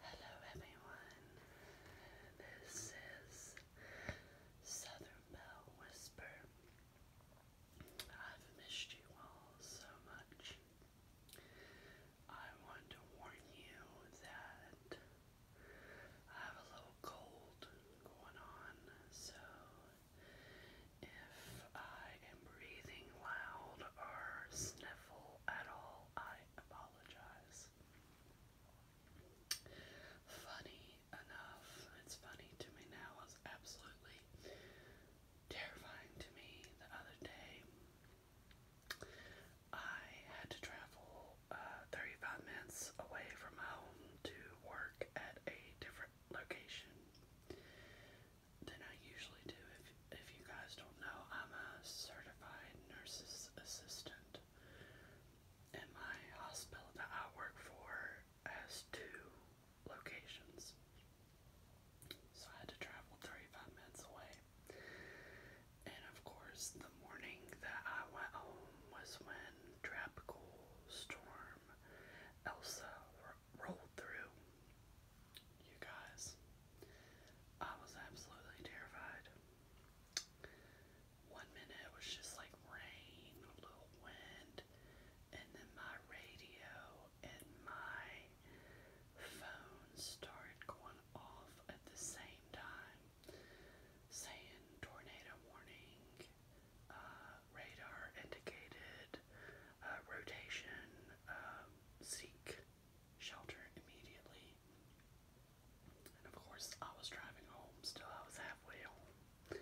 Hello everyone, this is Southern Bell Whisper. I've missed you all so much. I want to warn you that I have a little cold going on, so if I am breathing loud or sniffle, at all, I apologize. Funny enough, it's funny to me now, was absolutely terrifying to me the other day. I had to travel uh, 35 minutes away from home to work at a different location than I usually do. If, if you guys don't know, I'm a certified nurse's assistant, and my hospital that I work for has two locations. So I had to travel 35 minutes away. And of course, the morning that I went home was when Tropical Storm Elsa rolled through. You guys, I was absolutely terrified. One minute it was just like rain, a little wind, and then my radio and my phone started going off at the same time, saying tornado warning, uh, radar indicated, uh, rotation, um, seek shelter immediately. And of course, I was driving home still, I was halfway home.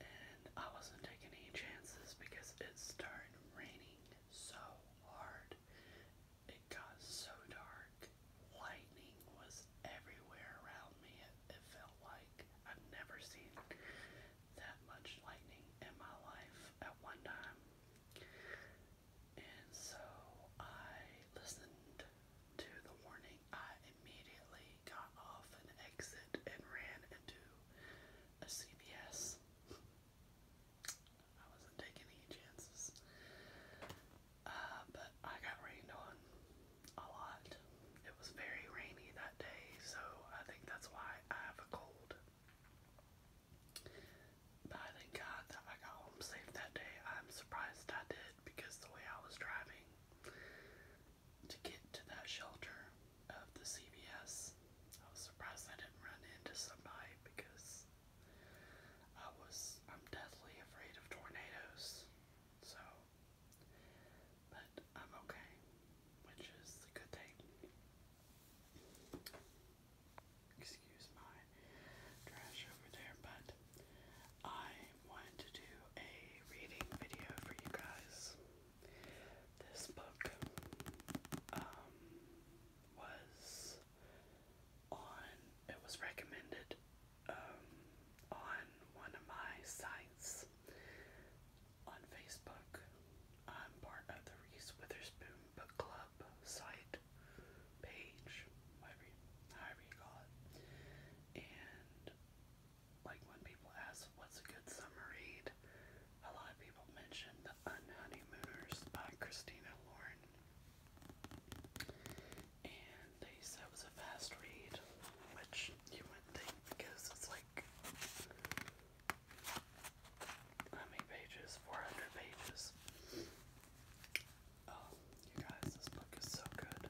And I wasn't taking any chances because it started raining so hard. It got so dark. Lightning was everywhere around me, it, felt like. i would never seen that much lightning in my life at one time. And so I listened to the warning. I immediately got off an exit and ran into a CVS. I wasn't taking any chances. Uh, but I got rained on a lot. It was very rainy that day, so I think that's why I have a cold. But I thank God that I got home safe that day. I'm surprised I did because the way I was driving to get to that shelter of the CVS, I was surprised I didn't run into somebody because I was I'm deathly afraid of tornadoes. So but I'm okay, which is a good thing. Excuse my trash over there, but I wanted to do a reading video for you guys. This book um, was on, it was recommended um, on one of my sites on Facebook, I'm part of the Reese Witherspoon Book Club site page, whatever you, however And like when people ask what's a good summer read, a lot of people mention Unhoneymooners by Christina Lauren. And they said it was a fast read, which you wouldn't think because it's like how many pages? 400 pages. Oh, you guys, this book is so good.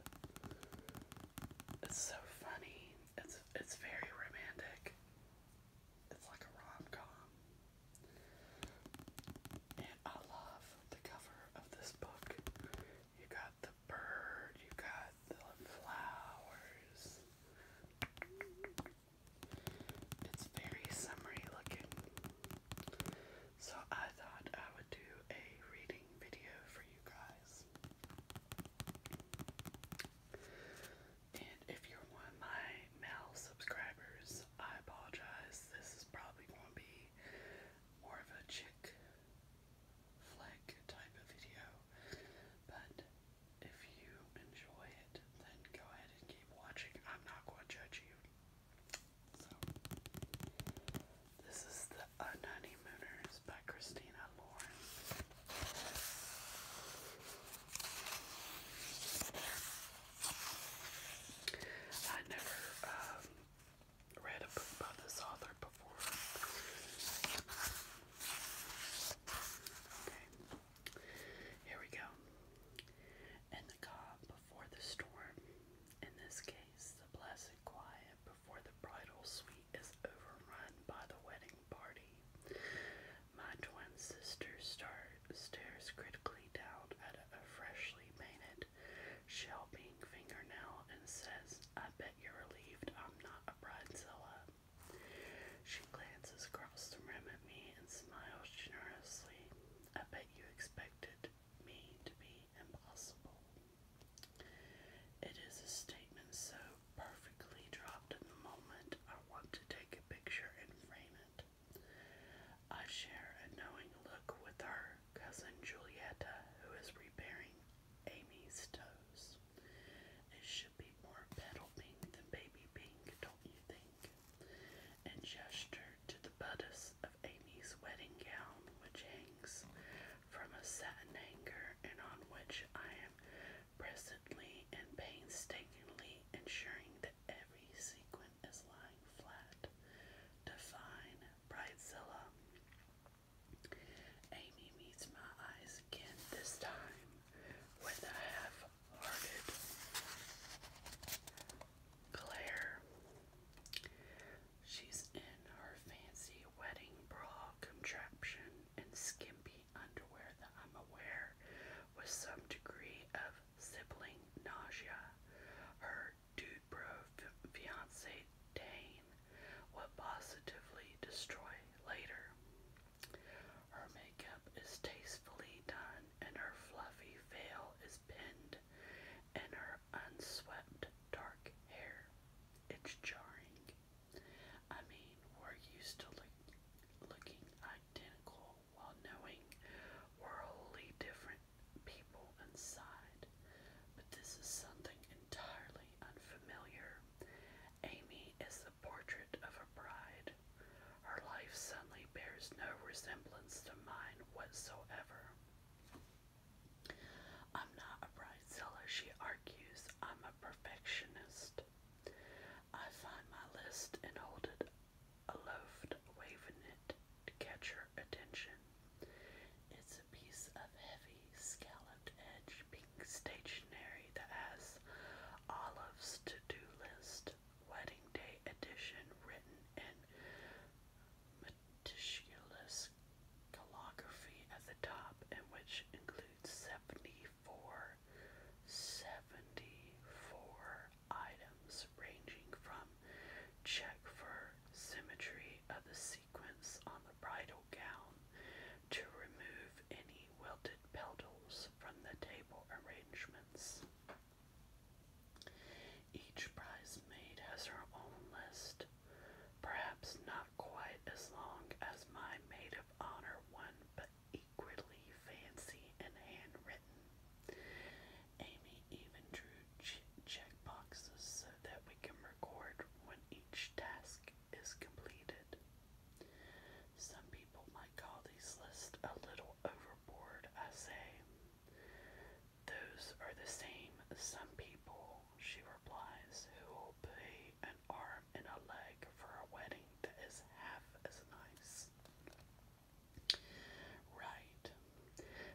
It's so funny. It's it's very romantic. It's like a rom com. And I love the cover of this book. You guys, the bird, you got the flowers. It's very summery looking. So I thought I would do a reading video for you guys. And if you're one of my now subscribers, I apologize. This is probably going to be more of a chick flick type of video, but if you enjoy it, then go ahead and keep watching. I'm not going to judge you. So, this is the Unhoneymooners by Christina Lauren. I never um, read a book by this author before. Here we go. And the calm before the storm. In this case, the blessed quiet before the bridal suite is overrun by the wedding party. My twin sister star stares critically down at a freshly painted shell pink fingernail and says, I you're relieved I'm not a bridezilla. She glances across the room at me and smiles generously. I bet you expected me to be impossible. It is a statement so perfectly dropped in the moment I want to take a picture and frame it. I share a knowing look with her cousin Julietta, who is repairing Amy's toes. It should be more petal pink than baby pink, don't you think? And gestured to the bodice of Amy's wedding gown, which hangs from a satin hanger and on which I am presently and painstakingly ensuring that every sequin is lying flat. Define Bridezilla. Amy meets my eyes again, this time with a half hearted glare. She's in her fancy wedding bra contraption and skimpy underwear that I'm aware with some degree of sibling nausea. Her do pro fiance Dane would positively destroy later. Her makeup is tastefully done, and her fluffy veil is pinned and her unswept dark hair. It's jarring. I mean, we're used to look looking identical while knowing we're wholly different people people sighed. But this is something entirely unfamiliar. Amy is the portrait of a bride. Her life suddenly bears no resemblance to mine whatsoever. I'm not a bridezilla, she argues. I'm a perfectionist. I find my list and hold it aloft, waving it to catch her attention. It's a piece of heavy, scalloped edge pink stationery that has Olive's to do list, wedding day edition, written in meticulous calligraphy at the top, and which includes 74, 74 items ranging from check for symmetry of the sequence on the bridal gown to remove any wilted petals from the table arrangements. Each bridesmaid has her own list, perhaps not quite as long as my maid of honor one, but equally fancy and handwritten. Amy even drew check boxes so that we can record when each task is completed. Some people might call these lists a little overboard, I say. Those are the same some people, she replies, who will pay an arm and a leg for a wedding that is half as nice. Right,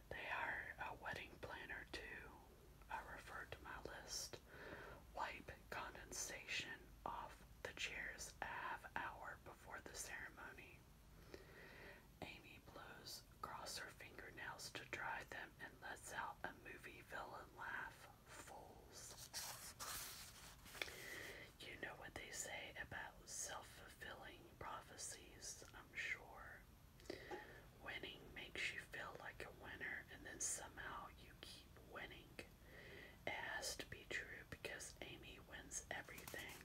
they are a wedding planner too. I refer to my list. Wipe condensation off the chairs a half hour before the ceremony. Amy blows across her fingernails to dry them and lets out a movie villain laugh. Fools. You know what they say about self fulfilling prophecies, I'm sure. Winning makes you feel like a winner, and then somehow you keep winning. has to be true because Amy wins everything.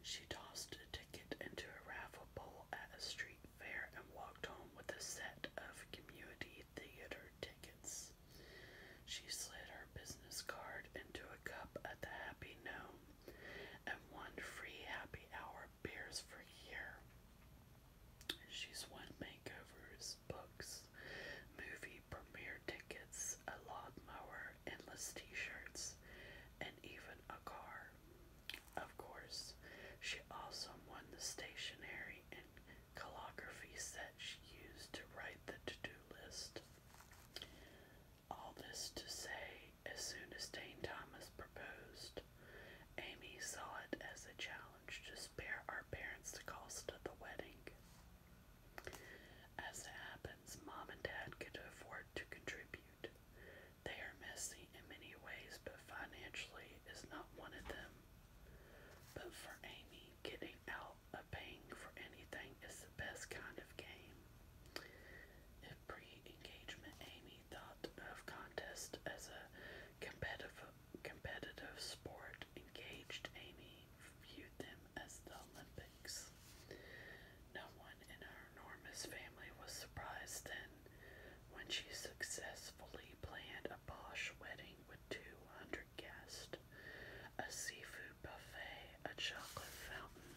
She tossed a ticket into a raffle bowl at a street fair and walked home with a set of community theater tickets. She slid her business card into a cup at the Happy Gnome and one free happy hour beers for a year. She's won makeovers, books, movie premiere tickets, a lawnmower, endless t shirts, and even a car. Of course, she also won the stationery and calligraphy set she used to write the to do list. All this to say, as soon as Dane Thomas proposed, Amy saw it as a challenge to spare our parents the cost of the wedding. As it happens, Mom and Dad could afford to contribute. They are messy in many ways, but financially is not one of them. But for Amy, getting out of paying for anything is the best kind of game. In pre-engagement, Amy thought of contest as a competitive competitive sport. Engaged Amy viewed them as the Olympics. No one in her enormous family was surprised then when she successfully planned a posh wedding with 200 guests, a seafood buffet, a chocolate fountain,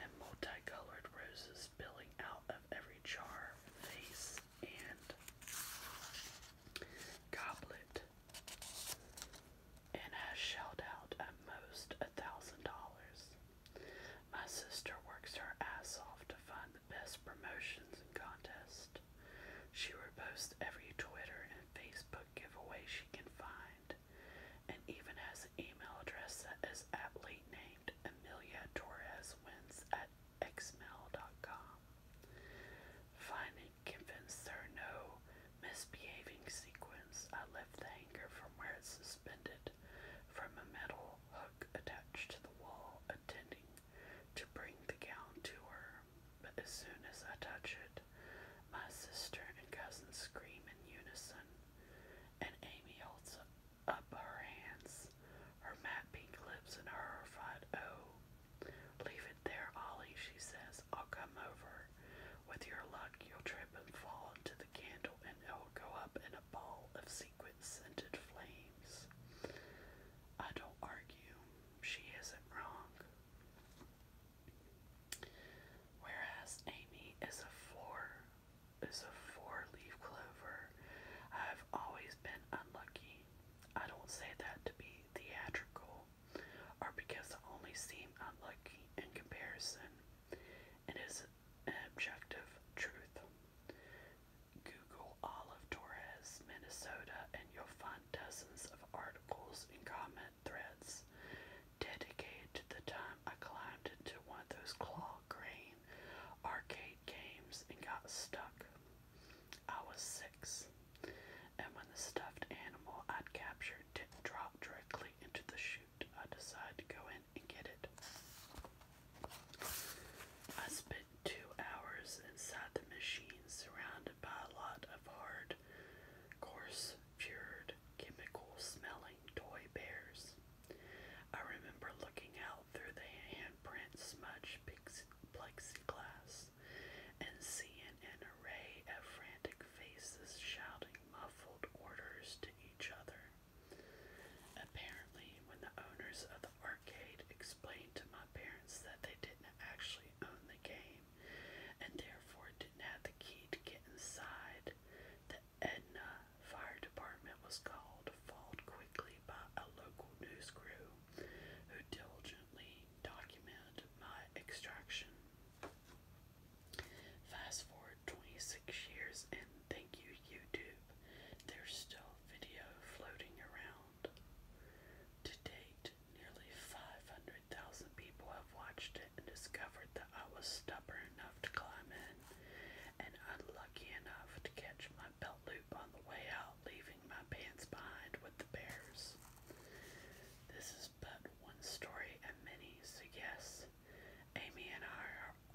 and multicolored roses spilling out of every jar, vase, and goblet, and has shelled out at most a thousand dollars. My sister works her ass off to find the best promotions and contests. She reposts every Twitter and Facebook giveaway she can find and even has an email address that is aptly named Amelia Torres Wins at xmail.com. Finally convinced there no misbehaving sequins, I left the hanger from where it's suspended from a metal hook attached to the wall, intending to bring the gown to her. But as soon as I touch it, my sister and cousins scream in unison, and Amy holds up her hands, her matte pink lips in a horrified oh. Leave it there, Ollie, she says. I'll come over. With your luck, you'll trip and fall into the candle, and it will go up in a ball of sequin scented flames. I don't argue. She isn't wrong. Whereas Amy is a four is a four leaf clover. I've always been unlucky. I don't say that to be theatrical or because I only seem unlucky in comparison. It is an objective truth. Google Olive Torres, Minnesota, and you'll find dozens of articles and comments threads dedicated the time I climbed into one of those claw crane arcade games and got stuck. I was six, and when the stuffed animal I'd captured did directly into the chute, I decided to go in and get it. I spent two hours inside the machine surrounded by a lot of hard coarse, cured, chemical smelling toy bears. I remember looking out through the handprint smudged plexiglass and seeing an array of frantic faces shouting muffled orders to each other. Apparently, when the owners of the arcade explained to my parents that they didn't actually own the game, and therefore didn't have the key to get inside. The Edna Fire Department was called, followed quickly by a local news crew who diligently documented my extraction. Fast forward 26 years, and thank you, YouTube, there's still video floating around. To date, nearly 500 100,000 people have watched it and discovered that I was stubborn enough to climb in and unlucky enough to catch my belt loop on the way out, leaving my pants behind with the bears. This is but one story and many, so yes, Amy and I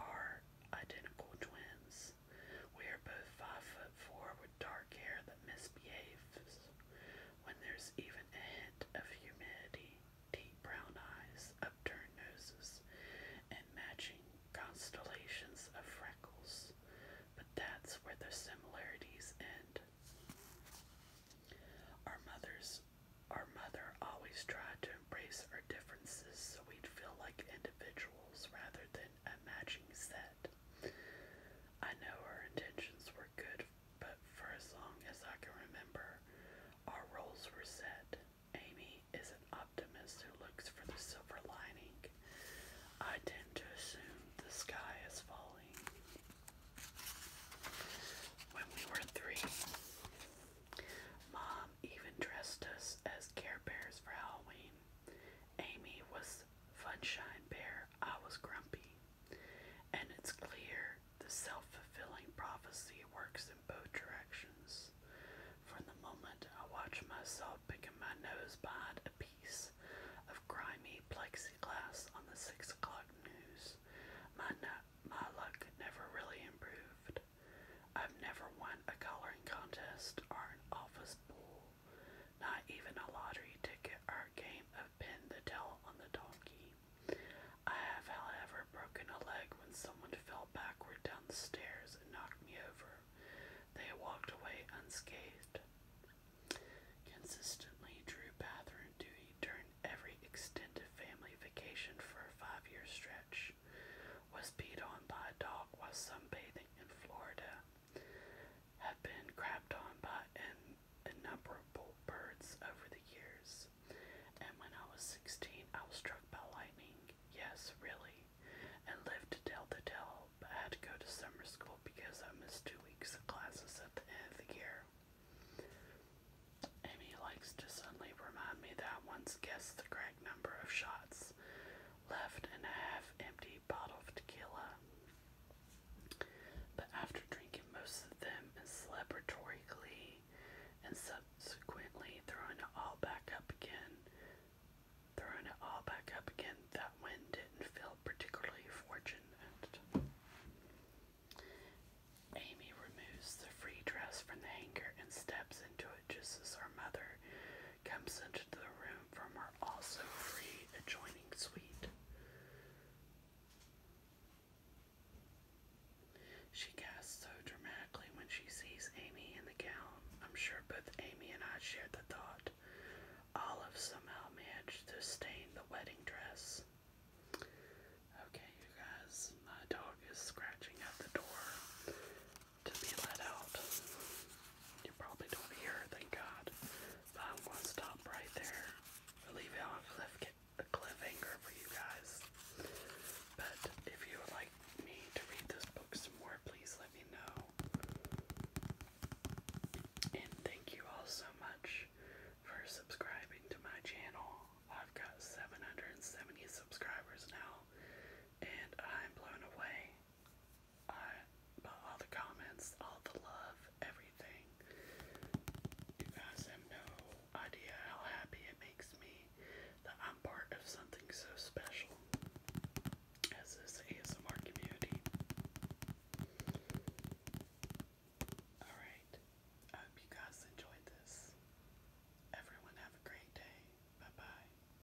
are identical twins. We are both five foot four with dark hair that misbehaves when there's even a hint of humidity, deep brown eyes, upturned noses, and matching constellations of freckles. But that's where the similarities end. Our mothers our mother always tried to embrace our differences so we'd feel like individuals rather than a matching set. I know her intentions were good, but for as long as I can remember, our roles were set. Amy is an optimist who looks for the silver lining. I tend to assume the sky is falling. When we were three, Mom even dressed us as Care Bears for Halloween. Amy was Funshine Bear, I was grumpy. And it's clear the self fulfilling prophecy works in both directions. From the moment I watch myself picking my nose behind a piece of grimy plexiglass on the 6 o'clock news, my, my luck never really improved. I've never won a coloring contest or an office pool not even a lottery ticket or game of pin the tail on the donkey. I have, however, broken a leg when someone fell backward down the stairs and knocked me over. They walked away unscathed. Consistently, Drew Bathroom duty during every extended family vacation for a five year stretch was beat on by a dog while sunbathing in Florida have been crapped on by an innumerable birds over the years. And when I was 16, I was struck by lightning. Yes, really. And lived to tell the tale, but I had to go to summer school because I missed two weeks of classes at the end of the year. Amy likes to suddenly remind me that once guessed the correct number of shots left and a half empty bottle of tequila. But after drinking most of them in celebratory glee and subsequently throwing it all back up again, throwing it all back up again, that wind didn't feel particularly fortunate. Amy removes the free dress from the hanger and steps into it just as her mother comes into the room from her also free adjoining suite. She gasps so dramatically when she sees Amy in the gown. I'm sure both Amy and I shared the thought. Olive somehow managed to stain the wedding dress. Okay, you guys, my dog is scratching at the door to be let out. You probably don't hear thank God. But I'm gonna stop right there. leave it on a cliff cliffhanger for you guys. But if you would like me to read this book some more, please let me know. And thank you all so much for subscribing to my channel. I've got 770 subscribers now, and I'm blown away uh, all the comments, all the love, everything. You guys have no idea how happy it makes me that I'm part of something so special as this ASMR community. Alright, I hope you guys enjoyed this. Everyone have a great day. Bye bye.